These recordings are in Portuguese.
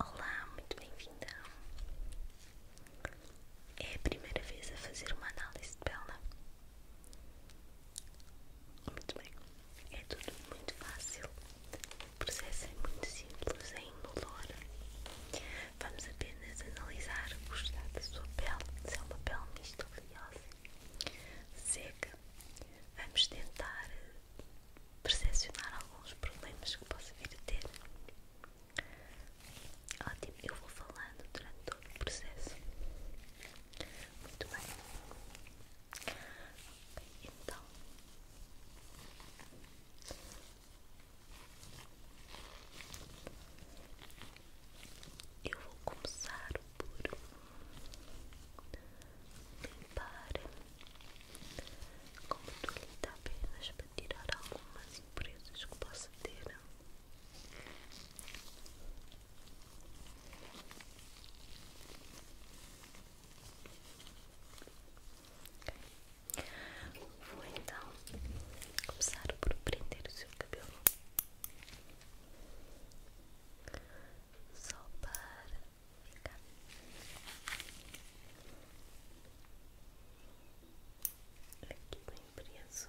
Olá, muito bem-vinda. É a primeira vez a fazer uma análise de pele. Muito bem, é tudo muito fácil. O processo é muito simples, é indolor. Vamos apenas analisar o estado da sua pele, se é uma pele mista oleosa, seca, vamos tentar percepcionar alguns problemas que possa vir a ter. Ótimo, eu vou falando durante todo o processo. Muito bem. então eu vou começar por limpar com toalhita apenas para tirar algumas impurezas que possa ter. Vou então começar por prender o seu cabelo só para ficar. Aqui bem preso.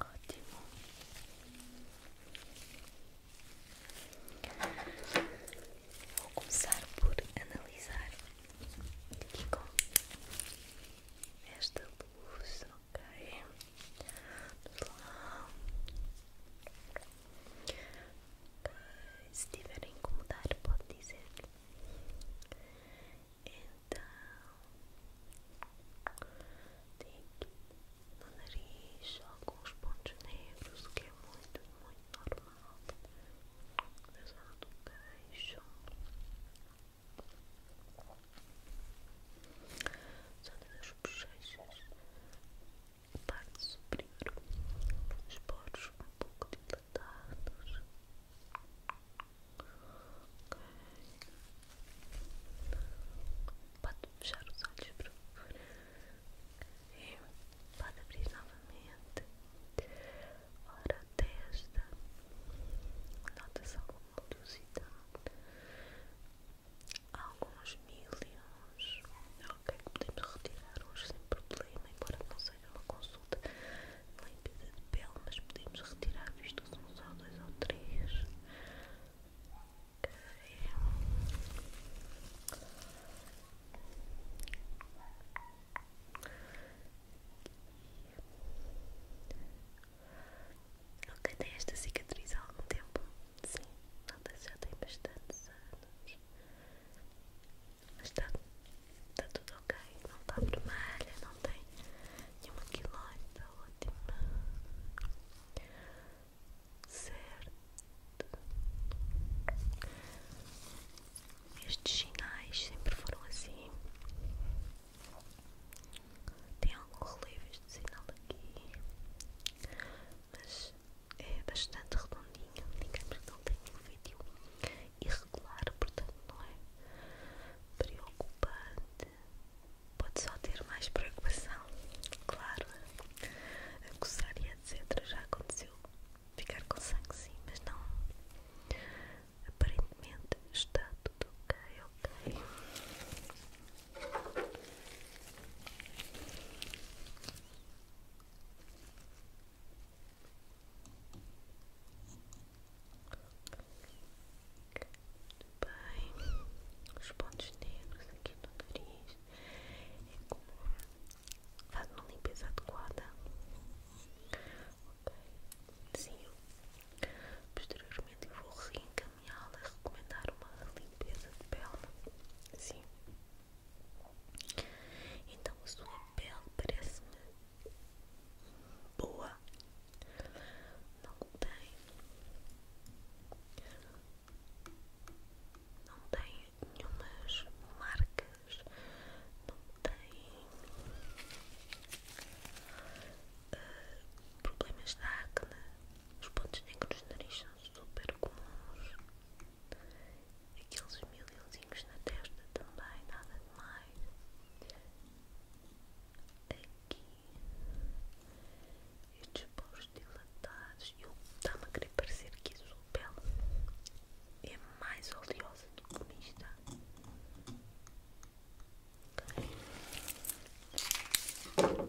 Ótimo. Vou começar por analisar aqui com esta blusa, ok? Lá. Okay. Se estiver a incomodar, pode dizer. Então, tem aqui no nariz alguns pontos negros, o que é muito, muito normal. Na zona do queixo, zona das bochechas, parte superior, os poros um pouco dilatados. Pode fechar os olhos, por favor. E pode abrir novamente. Ora, testa. Nota-se alguma velocidade. Alguns milhões. Ok, podemos retirar uns sem problema, embora não aconselho uma consulta de limpeza é de pele, mas podemos retirar visto que são só dois ou três. Okay. Ok, tem esta cicatriz há algum tempo? Sim, nota já tem bastantes anos. Mas está tá tudo ok, não está vermelha, não tem nenhuma quilona tá ótima. Certo. Estes sinais sempre foram assim. Tem algum relevo este sinal aqui, mas é bastante redondinho, digamos que não tem nenhum vídeo irregular, portanto não é preocupante. Pode só ter mais preocupação, claro. Acusar e etc. Já aconteceu ficar com sangue, sim, mas não. Aparentemente está tudo ok, ok. Muito bem, os pontos negros aqui no nariz é comum, faz uma limpeza adequada. Ok, sim, posteriormente eu vou reencaminhá-la a recomendar uma limpeza de pele. Sim, então sua pele parece-me boa. Não tem. Não tem nenhumas marcas. Não tem ah, problemas de acne. Os pontos negros do nariz são super comuns. Aqueles milhãozinhos na testa também, nada de mais Aqui. Estes poros dilatados. Eu está-me a querer parecer que a sua pele é mais oleosa do que mista. Okay.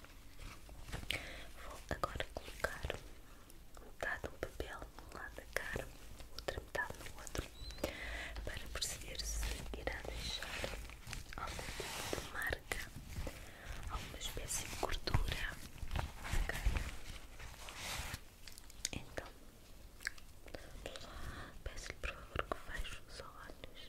Vou agora colocar metade de papel num lado da cara, outra metade no outro, para perceber se irá deixar algum tipo de marca, alguma espécie de gordura na Então, peço-lhe por favor que feche os olhos.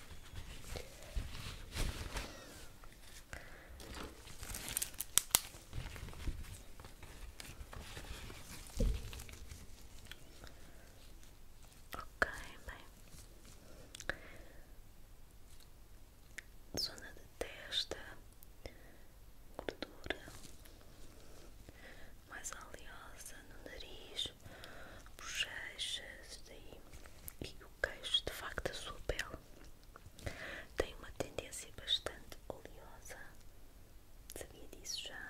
Ok, bem, zona de testa, gordura mais oleosa no nariz, as e o queixo, de facto da sua pele tem uma tendência bastante oleosa, sabia disso já?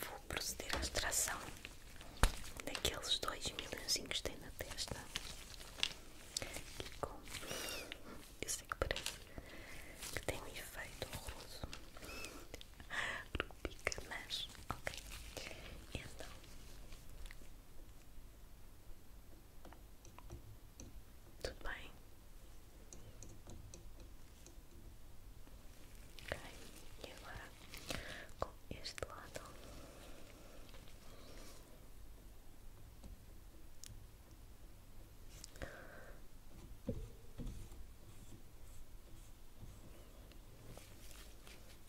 Vou proceder à extração daqueles dois milhõezinhos que tem na testa. Aqui com... Eu sei é que parece que tem um efeito horroroso. Porque pica, mas... Ok. Então... Tudo bem? Ok, e agora com este lado.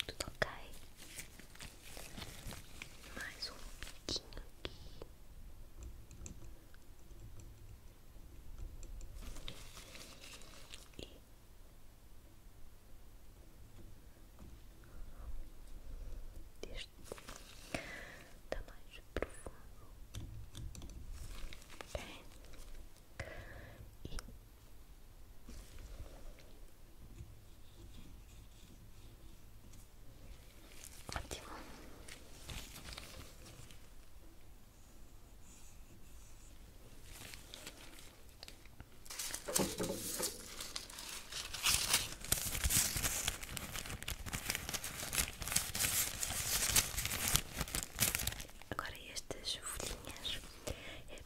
Tudo ok? Mais um pouquinho aqui. E deste está mais profundo, e Ótimo. Agora estas folhinhas é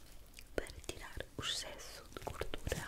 para tirar o excesso de gordura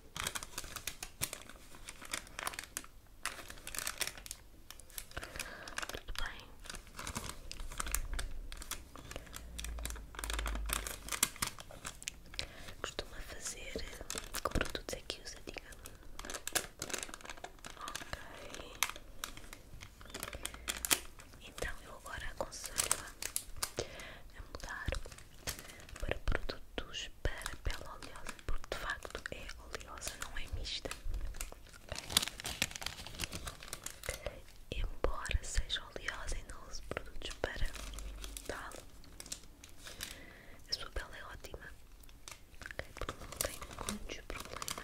Tudo bem. Costuma fazer com produtos aqui usa, diga Ok. Então eu agora aconselho a mudar para produtos para pele oleosa, porque de facto é oleosa, não é mista. Embora seja oleosa e não use produtos para tal, a sua pele é ótima, porque não tem muitos problemas.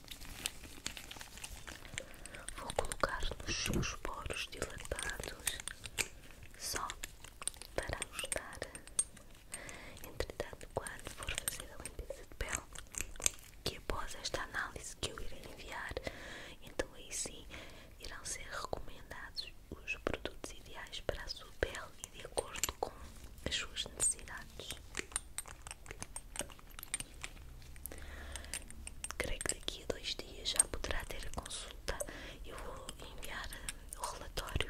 Vou colocar nos seus poros dilatados só para ajudar. Entretanto, quando for fazer a limpeza de pele, que após esta análise que eu irei enviar, então aí sim irão ser recomendados os produtos ideais para a sua pele e de acordo com as suas necessidades. Creio que daqui a dois dias já poderá ter a consulta. Eu vou enviar eh, o relatório.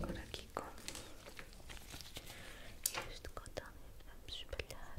Agora aqui com este cotone vamos espalhar.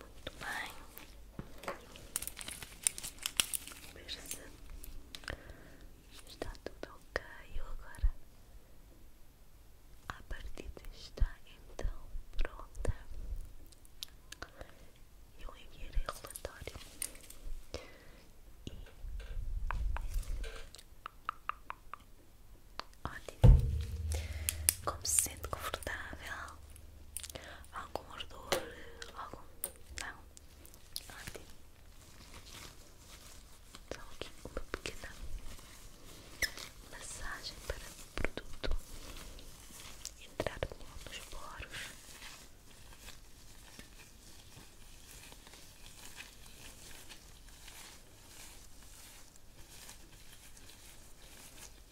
Muito bem. Perce. Está tudo ok agora. A partida está então pronta. Eu enviarei o relatório e Ótimo. Como se sente confortável? Algum ardor? Algum? Não? Ótimo. Só aqui uma pequena massagem para o produto entrar dos poros.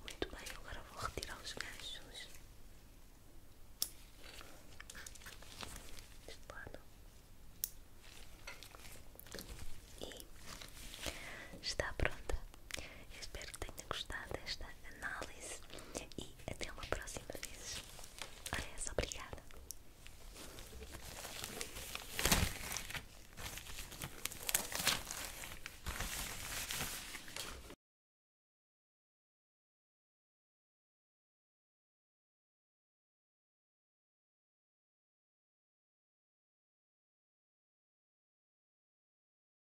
Muito bem, agora vou retirar os ganchos deste lado e está pronta Espero que tenha gostado desta análise e até uma próxima vez. Olha essa, é obrigada.